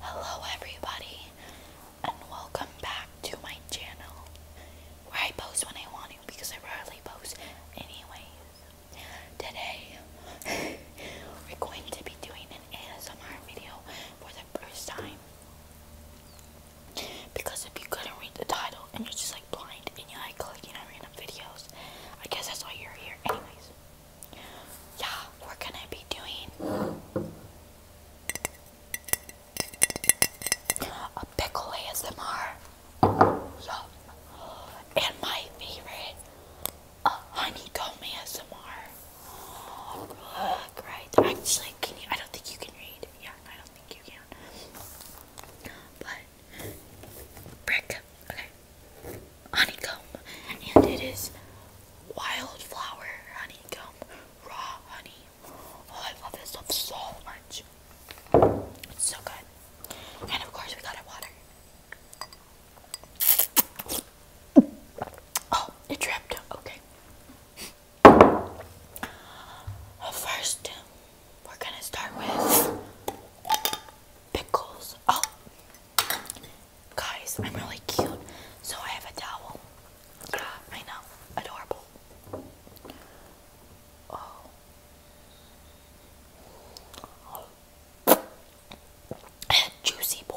Hello everybody and welcome back to my channel where I post when I want to because I rarely post anyways. Today we're going to be doing an ASMR video for the first time because if you couldn't read the title and you're just like blind and you are like clicking on random videos, I guess that's why you're here anyways yeah, we're gonna be doing a pickle ASMR. And my favorite, a honeycomb ASMR. right? Actually, can you? I don't think you can read. Yeah, I don't think you can. But, brick honeycomb, and it is wildflower honeycomb, raw honey. Oh, I love this stuff so much. It's so good. And of course, we got our water. Oh, it dripped. Okay. first, we're gonna start with pickles. Oh, Guys, I'm really cute, so I have a towel. I know. Adorable. Oh. oh. Juicy boy.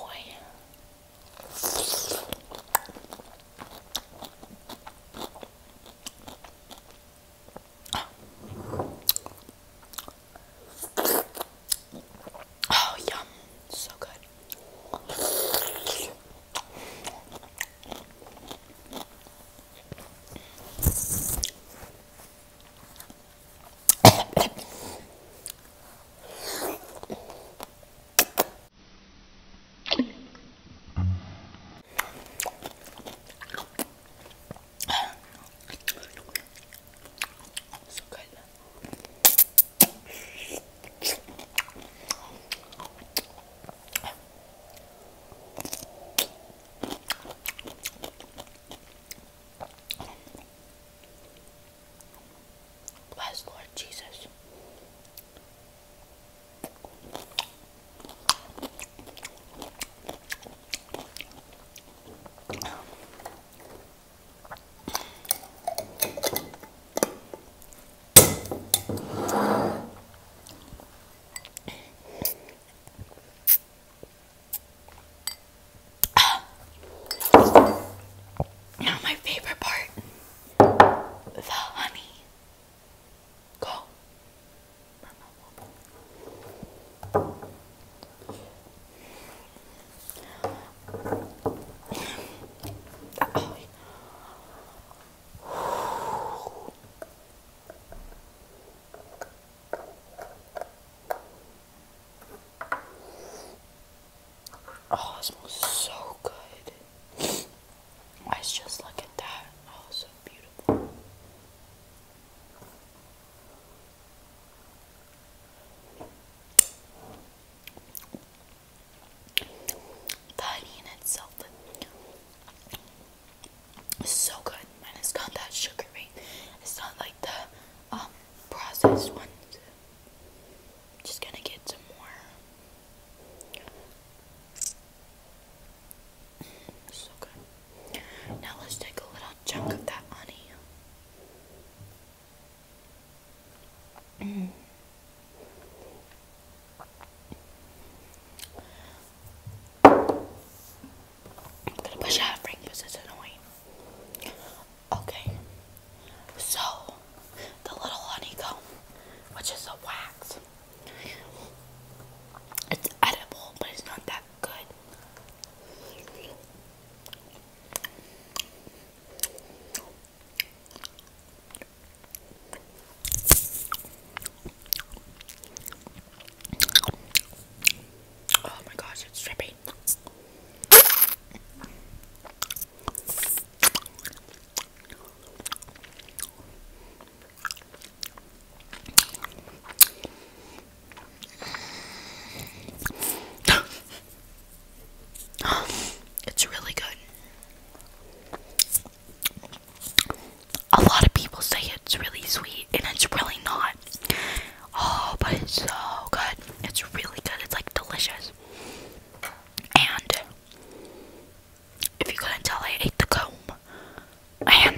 Oh, yum. So good. so good. Bless Lord Jesus. Now, my favorite part the honey. Go. Oh, it smells so good. I was just look at that. Oh, so beautiful. The honey itself is so good, and it's got that sugary. It's not like the um, processed ones. Just gonna get some more. Mm, so good. Now let's take a little chunk of that honey. Mm. I'm gonna push out of because it's annoying. Okay, so the little honeycomb, which is a wax, it's edible, but it's not that Oh my gosh, it's dripping. it's really good. A lot of people say it's really sweet, and it's really not. Oh, but it's so good. It's really good. It's like delicious. And if you couldn't I ate the comb. And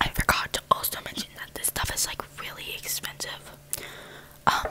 I forgot to also mention that this stuff is like really expensive. Um,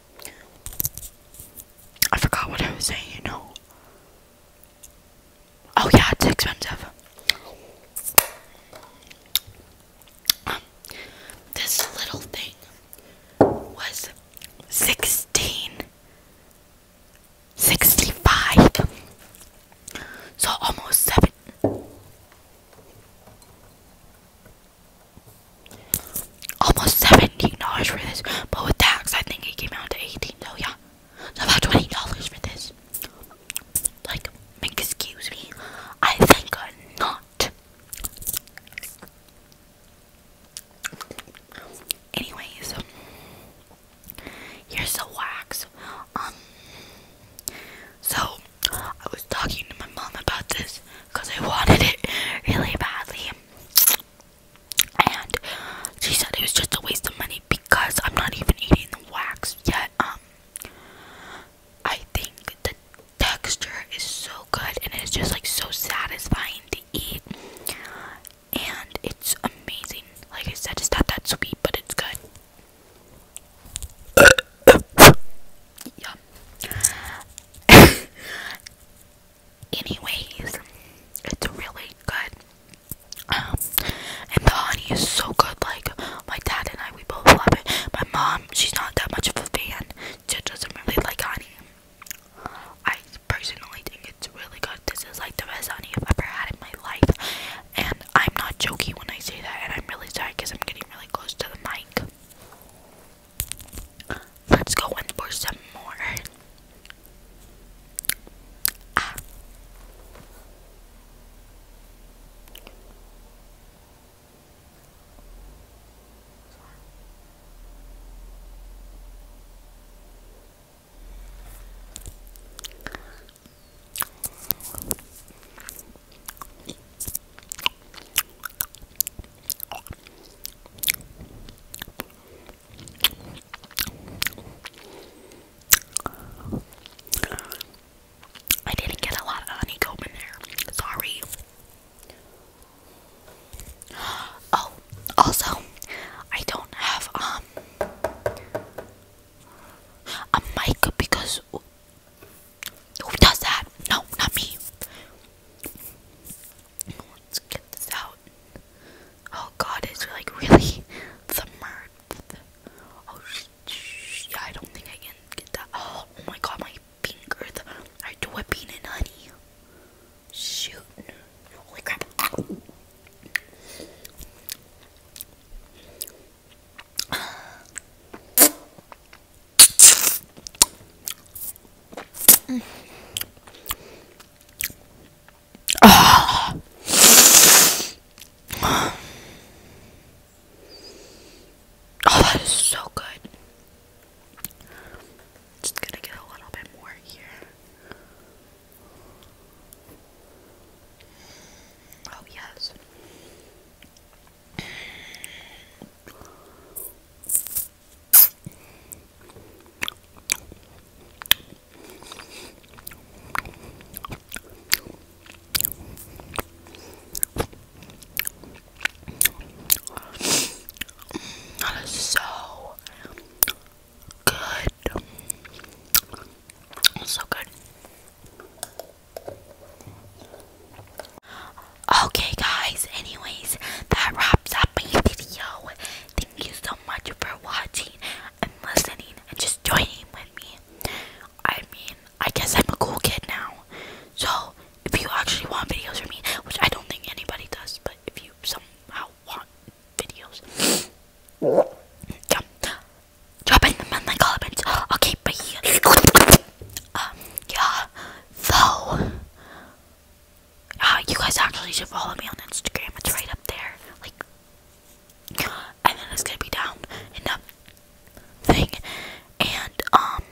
I forgot what I was saying, you know. Oh yeah, it's expensive. Um, this little thing was sixteen sixty-five. So almost seven almost $17 for this, but with tax, I think it came out to 18 so yeah, it's about $20 for this. Like, excuse me, I think I'm not. Anyways, here's the wax. Um, so I was talking to my mom about this because I wanted it really badly and she said it was just a waste of money because I'm not even eating the wax yet. Um, I think the texture is so good and it's just like so satisfying to eat, and it's amazing. Like I said, it's not that sweet, but it's good. Yum. anyways, it's really good. Um, and the honey is so good. Like my dad and I, we both love it. My mom, she's not that much of a fan. She doesn't really like honey. I personally think it's really good. This is like the best honey I've ever had in my life, and I'm not joking when I say that. And I'm really sorry because I'm getting really close to the mic. Let's go in for some more. I didn't get a lot of honeycomb in there. Sorry. Oh, also, I don't have um a mic because who does that? No, not me. Let's get this out. Oh god, it's like really the Oh sh yeah, I don't think I can get that. Oh, oh my god, my finger. I do it peanut honey. Shoot. Holy crap. Ah. Oh. that is so good. Just gonna get a little bit more here. Oh, yes. That is so good. So good. Okay, guys, anyways, that wraps up my video. Thank you so much for watching and listening and just joining with me. I mean, I guess I'm a cool kid now. So, if you actually want videos from me, which I don't think anybody does, but if you somehow want videos, yeah, drop in the comment comments. Okay, bye. Um, yeah. So, uh, you guys actually should follow me on Instagram. It's right up there. Like, and then it's gonna be down in the thing. And, um,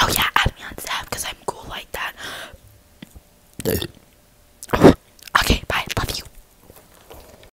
oh yeah, add me on Snap because I'm cool like that. okay, bye. Love you.